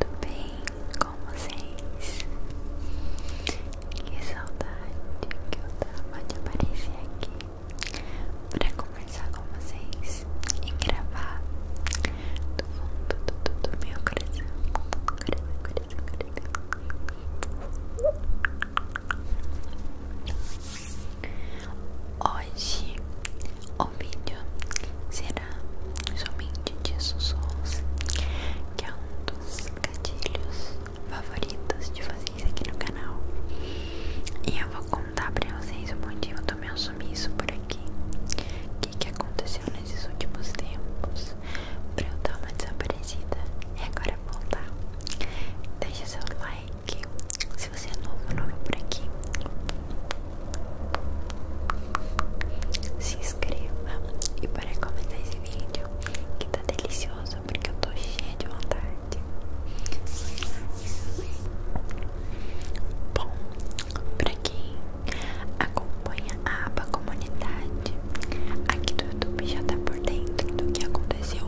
Tudo bem com vocês? Que saudade que eu tava de aparecer aqui para conversar com vocês e gravar tudo fundo tudo do, do meu coração. Coração, coração. Hoje o vídeo será somente de sussurros, que é um dos gatilhos favoritos de vocês aqui no canal. E eu vou contar pra vocês o motivo do meu sumiço por aqui. O que, aconteceu nesses últimos tempos pra eu dar uma desaparecida e agora voltar. Deixa seu like. Se você é novo, novo por aqui, se inscreva e para comentar esse vídeo que tá delicioso porque eu tô cheia de vontade. Bom, para quem acompanha a aba comunidade aqui do YouTube já tá por dentro do que aconteceu.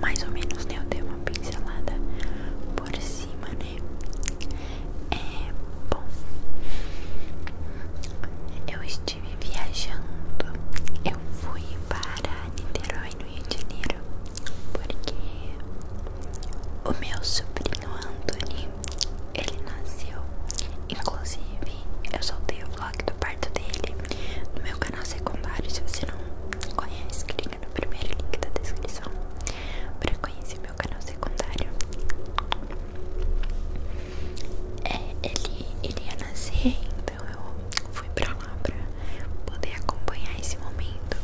Mais ou menos, né? Eu dei uma pincelada por cima, né? É bom. Eu estive viajando. Eu fui para Niterói, no Rio de Janeiro, porque o meu sobrinho Anthony, ele nasceu. Inclusive, eu soltei o vlog do parto dele no meu canal secundário. Se você não conhece, clica no primeiro link da descrição para conhecer meu canal secundário secundário. É, ele, ele ia nascer, então eu fui pra lá pra poder acompanhar esse momento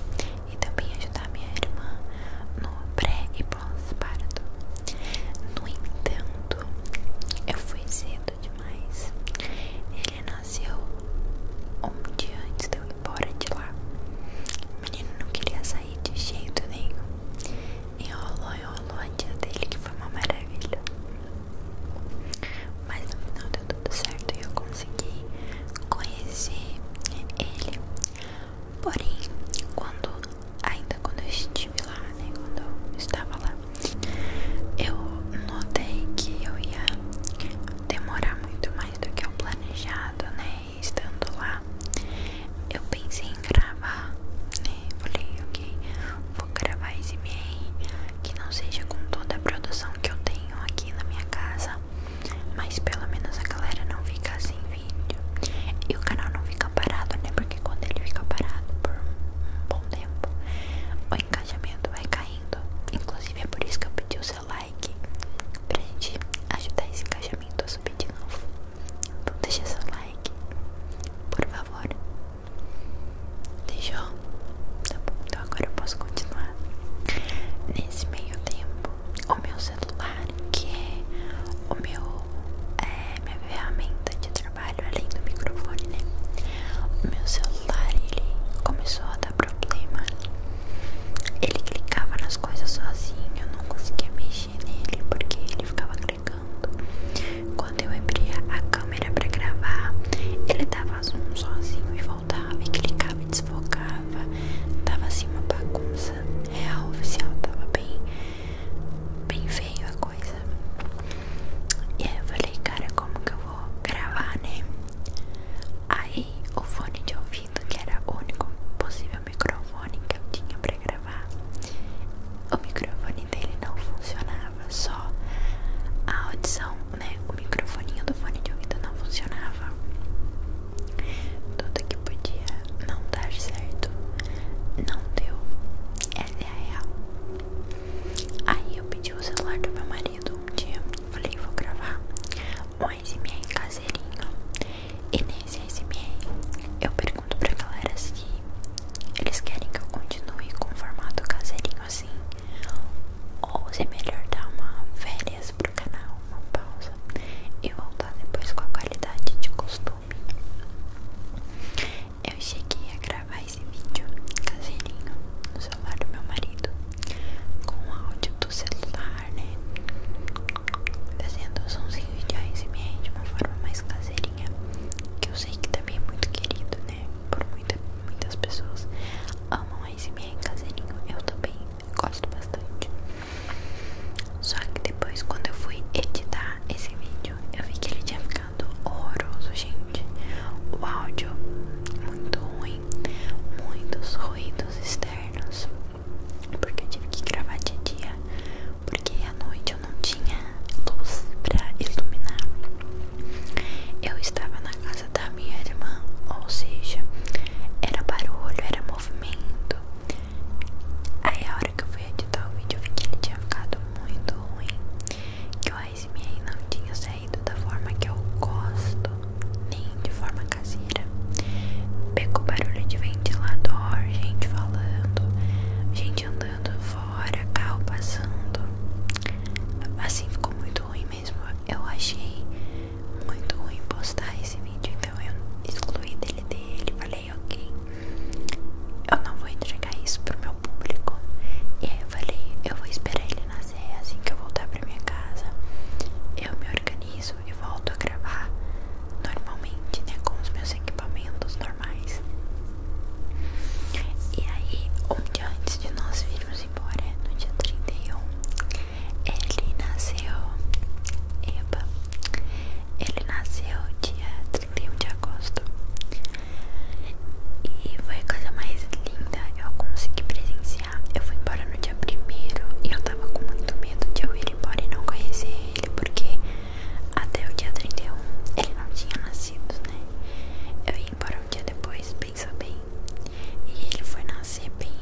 e também ajudar minha irmã no pré e pós-parto. No entanto, eu fui cedo demais. Ele nasceu um dia antes de eu ir embora de lá. O menino não queria sair sair de jeito nenhum. Enrolou, enrolou a tia dele, que foi uma maravilha. Mas no final deu tudo certo e eu consegui conhecer ele. Porém, quando ainda quando eu estive lá, né? Quando eu estava lá, eu notei que eu ia demorar muito mais do que eu planejado, né? estando lá, eu pensei em gravar, né? Falei, ok, vou gravar esse BR que não seja com toda a produção que eu tenho aqui na minha casa, mas pelo menos a galera não fica sem vídeo e o canal não fica parado, né? Porque quando ele fica parado por um bom tempo, o engajamento vai caindo. Inclusive é por isso que eu pedi o seu like pra gente ajudar esse encaixamento a subir de novo. Então deixa seu like, por favor. Deixou? Tá bom, então agora eu posso continuar. Nesse meio tempo, o meu celular, que é o meu é, minha ferramenta de trabalho além do microfone, né? O meu celular ele começou a dar problema ele clicava nas coisas sozinho, eu não conseguia mexer nele porque ele ficava clicando. Quando eu abria a câmera para gravar, ele dava zoom sozinho e voltava e clicava e desfocava. Tava assim uma bagunça real oficial, tava bem, bem feio a coisa. E aí eu falei, cara, como que eu vou gravar, né? Aí o fone de ouvido, que era o único possível o microfone que eu tinha para gravar. O microfone dele não funcionava, só a audição, né? O microfone do fone de ouvido não funcionava. Tudo que podia não dar certo, não deu. Essa é a real. Aí eu pedi o celular do meu marido um dia, falei, vou gravar um SMR caseirinho. E nesse SMR eu pergunto pra galera se eles querem que eu continue com o formato caseirinho assim. Ou se é melhor dar uma férias pro canal, uma pausa. E voltar depois com a qualidade de costume. Eu cheguei a gravar esse vídeo caseirinho no celular do meu marido. Com um áudio do celular, né? Fazendo o somzinho de ASMR de uma forma mais caseirinha, que eu sei que também é muito querido, né? Por muita, muitas pessoas amam ASMR caseirinho, eu também gosto bastante. Só que depois, quando eu fui editar esse vídeo, eu vi que ele tinha ficado horroroso, gente. O áudio muito ruim, muitos ruídos externos porque eu tive que gravar de dia, porque à noite eu não tinha luz pra iluminar. Eu estava na casa da minha irmã, ou seja, era barulho, era movimento. Aí a hora que eu fui editar o vídeo eu vi que ele tinha ficado muito ruim, que o ASMR não tinha saído da forma que eu gosto nem de forma caseira. Pegou barulho de ventilador, gente falando, gente andando fora, carro passando. Assim ficou muito ruim mesmo. Eu achei muito ruim postar esse vídeo, então eu excluí dele dele. Falei, ok, eu não vou entregar isso pro meu público. E aí eu falei, eu vou esperar ele nascer é assim que eu voltar pra minha casa. Eu me organizo, volto a gravar normalmente, né? Com os meus equipamentos normais. E aí, um dia antes de nós irmos embora, no dia 31, ele nasceu. Eba! Ele nasceu dia 31 de agosto. E foi a coisa mais linda. Eu consegui presenciar eu fui embora no dia primeiro e eu tava com muito medo de eu ir embora e não conhecer ele, porque até o dia 31 ele não tinha nascido, né? Eu ia embora um dia depois, pensa bem. E ele foi nascer bem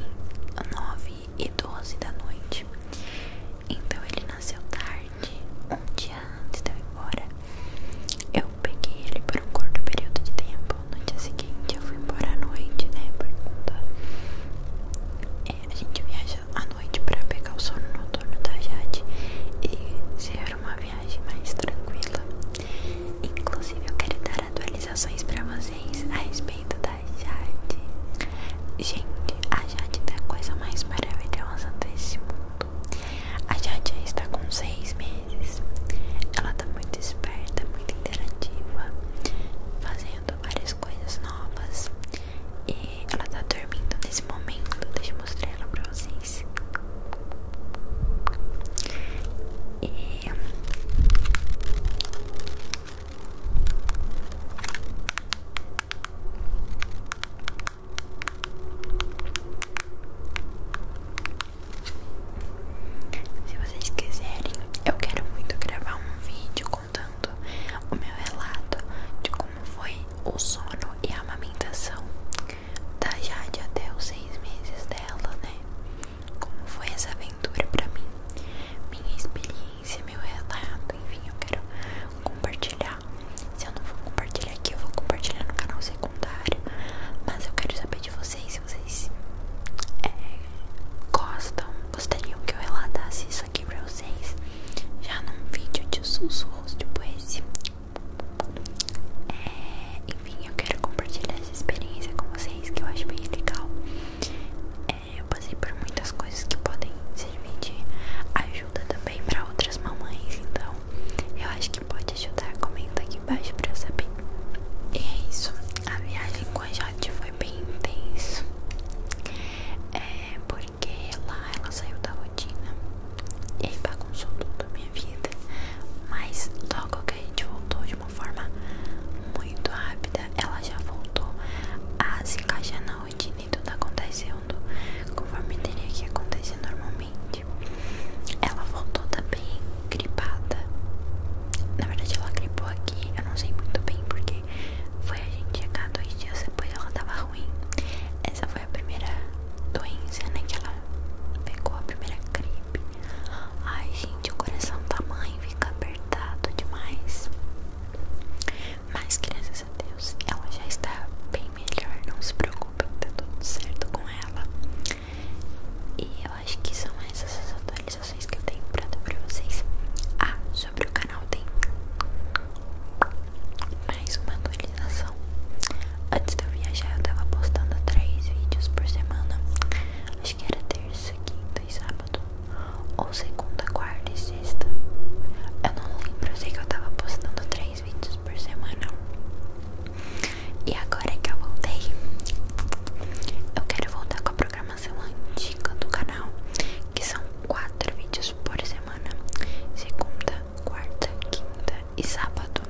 9 e 12 da noite. Então ele nasceu tarde, um dia antes de eu ir embora. Eu peguei ele por um curto período de tempo Bom, no dia seguinte eu fui embora à noite, né? Pergunta. É, a gente viaja à noite pra pegar o sono noturno da Jade e ser uma viagem mais tranquila. Inclusive, eu quero dar atualizações pra vocês a respeito da Jade. Gente, a Jade é a coisa mais maravilhosa desse mundo. A Jade já está com seis meses. Ela tá muito esperta, muito muito interativa, fazendo várias coisas novas. E ela tá dormindo nesse momento. deixe eu mostrar ela pra vocês. E se vocês quiserem, eu quero muito gravar um vídeo contando o meu relato de como foi o sono e a amamentação da Jade até os seis meses dela, né? Como foi essa aventura pra mim, minha experiência, meu relato, enfim, eu quero compartilhar. Se eu não vou compartilhar aqui, eu vou compartilhar no canal secundário. Mas eu quero saber de vocês vocês é, gostam, gostariam que eu relatasse isso aqui pra vocês já num vídeo de sussurros tipo esse. É, enfim, eu quero compartilhar essa experiência com vocês que eu acho bem legal. É, eu passei por muitas coisas que podem servir de ajuda também para outras mamães, então eu acho que pode ajudar. Comenta aqui embaixo pra eu saber. E é isso, a viagem com a Jade foi bem intenso. É, porque lá ela saiu da rotina e aí bagunçou tudo a minha vida. Mas logo que a gente voltou de uma forma muito rápida, ela já voltou a se encaixar na rotina e tudo acontecendo conforme teria que acontecer normalmente. Ela voltou também gripada. Na verdade, ela gripou aqui, eu não sei muito bem porque foi a gente chegar dois dias depois ela tava ruim. Essa foi a primeira doença, né? Que ela pegou a primeira gripe. Ai, gente, o coração da mãe fica apertado demais. Mas, graças a Deus, ela já está bem melhor. Não se preocupem, tá tudo certo com ela. E eu acho que são essas as atualizações que eu tenho pra dar pra vocês. Ah, sobre o canal tem mais uma atualização. Antes de eu viajar, eu tava postando três vídeos por semana. Acho que era terça, quinta e sábado. Ou segunda, quarta e sexta. Eu não lembro, eu sei que eu tava postando três vídeos por semana. E agora que eu voltei, eu quero voltar com a programação antiga do canal, que são quatro vídeos por semana: segunda, quarta, quinta e sábado.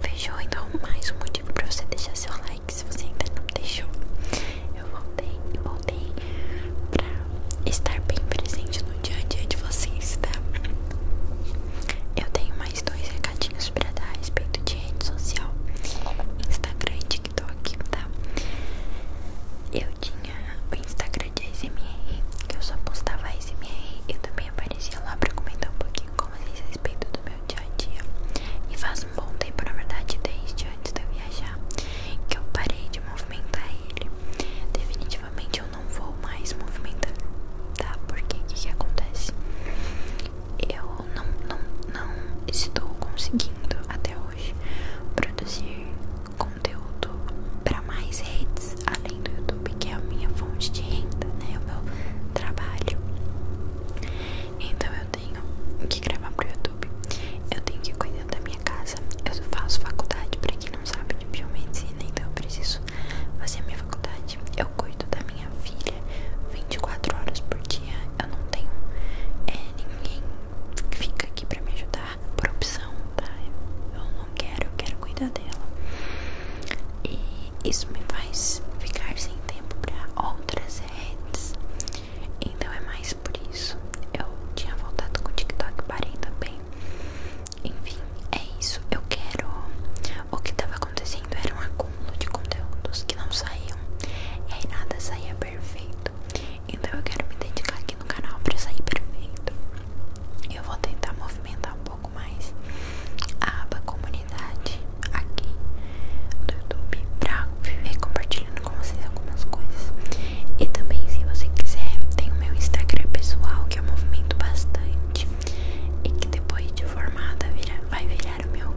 Fechou? Então, mais um motivo pra você deixar seu like se você ainda não deixou. Eu voltei voltei pra estar bem presente no dia a dia de vocês, tá? Eu tenho mais dois recadinhos pra dar a respeito de rede social, Instagram TikTok, tá? Eu tinha o Instagram de ASMR, que eu só postava ASMR e também aparecia lá pra comentar um pouquinho como vocês a respeito do meu dia a dia. E faz um bom tempo, na verdade, desde antes de eu viajar, que eu parei de movimentar ele. Definitivamente eu não vou mais movimentar, tá? Porque o que, que acontece? eu não, não, não estou conseguindo até hoje produzir conteúdo para mais redes além do YouTube, que é a minha fonte de renda, né? O meu trabalho. Então eu tenho que gravar para o YouTube, eu tenho que cuidar da minha casa, eu faço faculdade para quem não sabe de biomedicina, né, então eu preciso fazer a minha faculdade eu cuido da minha filha 24 horas por dia. Eu não tenho é, ninguém fica aqui pra me ajudar por opção, tá? Eu não quero, eu quero cuidar dela. E isso me faz ficar sem tempo pra outras redes. Então é mais por isso. Eu tinha voltado com o TikTok, parei também. Enfim, é isso. Eu quero. O que tava acontecendo era um acúmulo de conteúdos que não saíam e nada saía perfeito. Então eu quero me dedicar aqui no canal para sair perfeito. Eu vou tentar movimentar um pouco mais a aba comunidade aqui do YouTube para viver compartilhando com vocês algumas coisas. E também se você quiser, tem o meu Instagram pessoal que eu movimento bastante e que depois de formada vira, vai virar criar o meu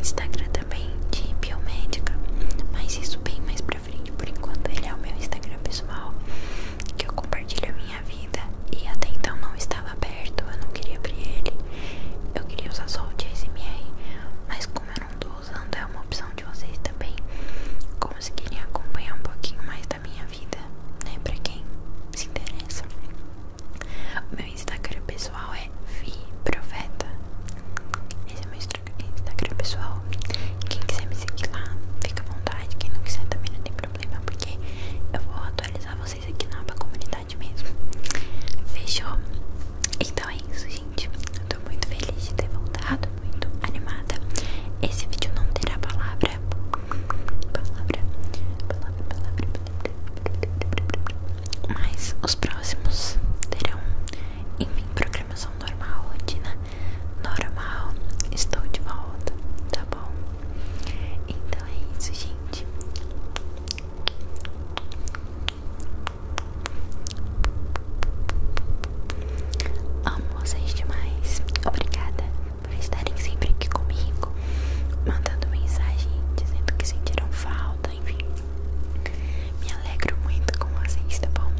Instagram também de biomédica, mas isso bem mais pra frente. Por enquanto, ele é o meu Instagram pessoal, que eu compartilho a minha vida. E até então não estava aberto, eu não queria abrir ele. Eu queria usar só o de mas como eu não tô usando, é uma opção de vocês também conseguirem acompanhar um pouquinho mais da minha vida, né? Pra quem se interessa meu Instagram pessoal é Profeta. Esse é meu Instagram pessoal. Quem quiser me seguir lá, fica à vontade. Quem não quiser também não tem problema, porque eu vou atualizar vocês aqui na aba comunidade mesmo. Fechou? Então é isso, gente. Eu tô muito feliz de ter voltado, muito animada. Esse vídeo não terá palavra. Palavra, palavra, palavra. Mas os próximos terão, enfim, programação normal, rotina né? normal. Estou de volta, tá bom? Então é isso, gente. Amo vocês demais. Obrigada por estarem sempre aqui comigo mandando mensagem dizendo que sentiram falta, enfim. Me alegro muito com vocês, tá bom?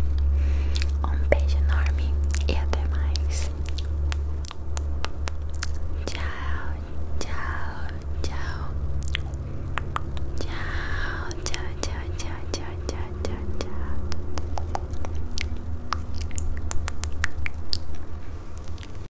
Um beijo enorme e até mais. Tchau, tchau, tchau. Tchau, tchau, tchau, tchau, tchau, tchau, tchau,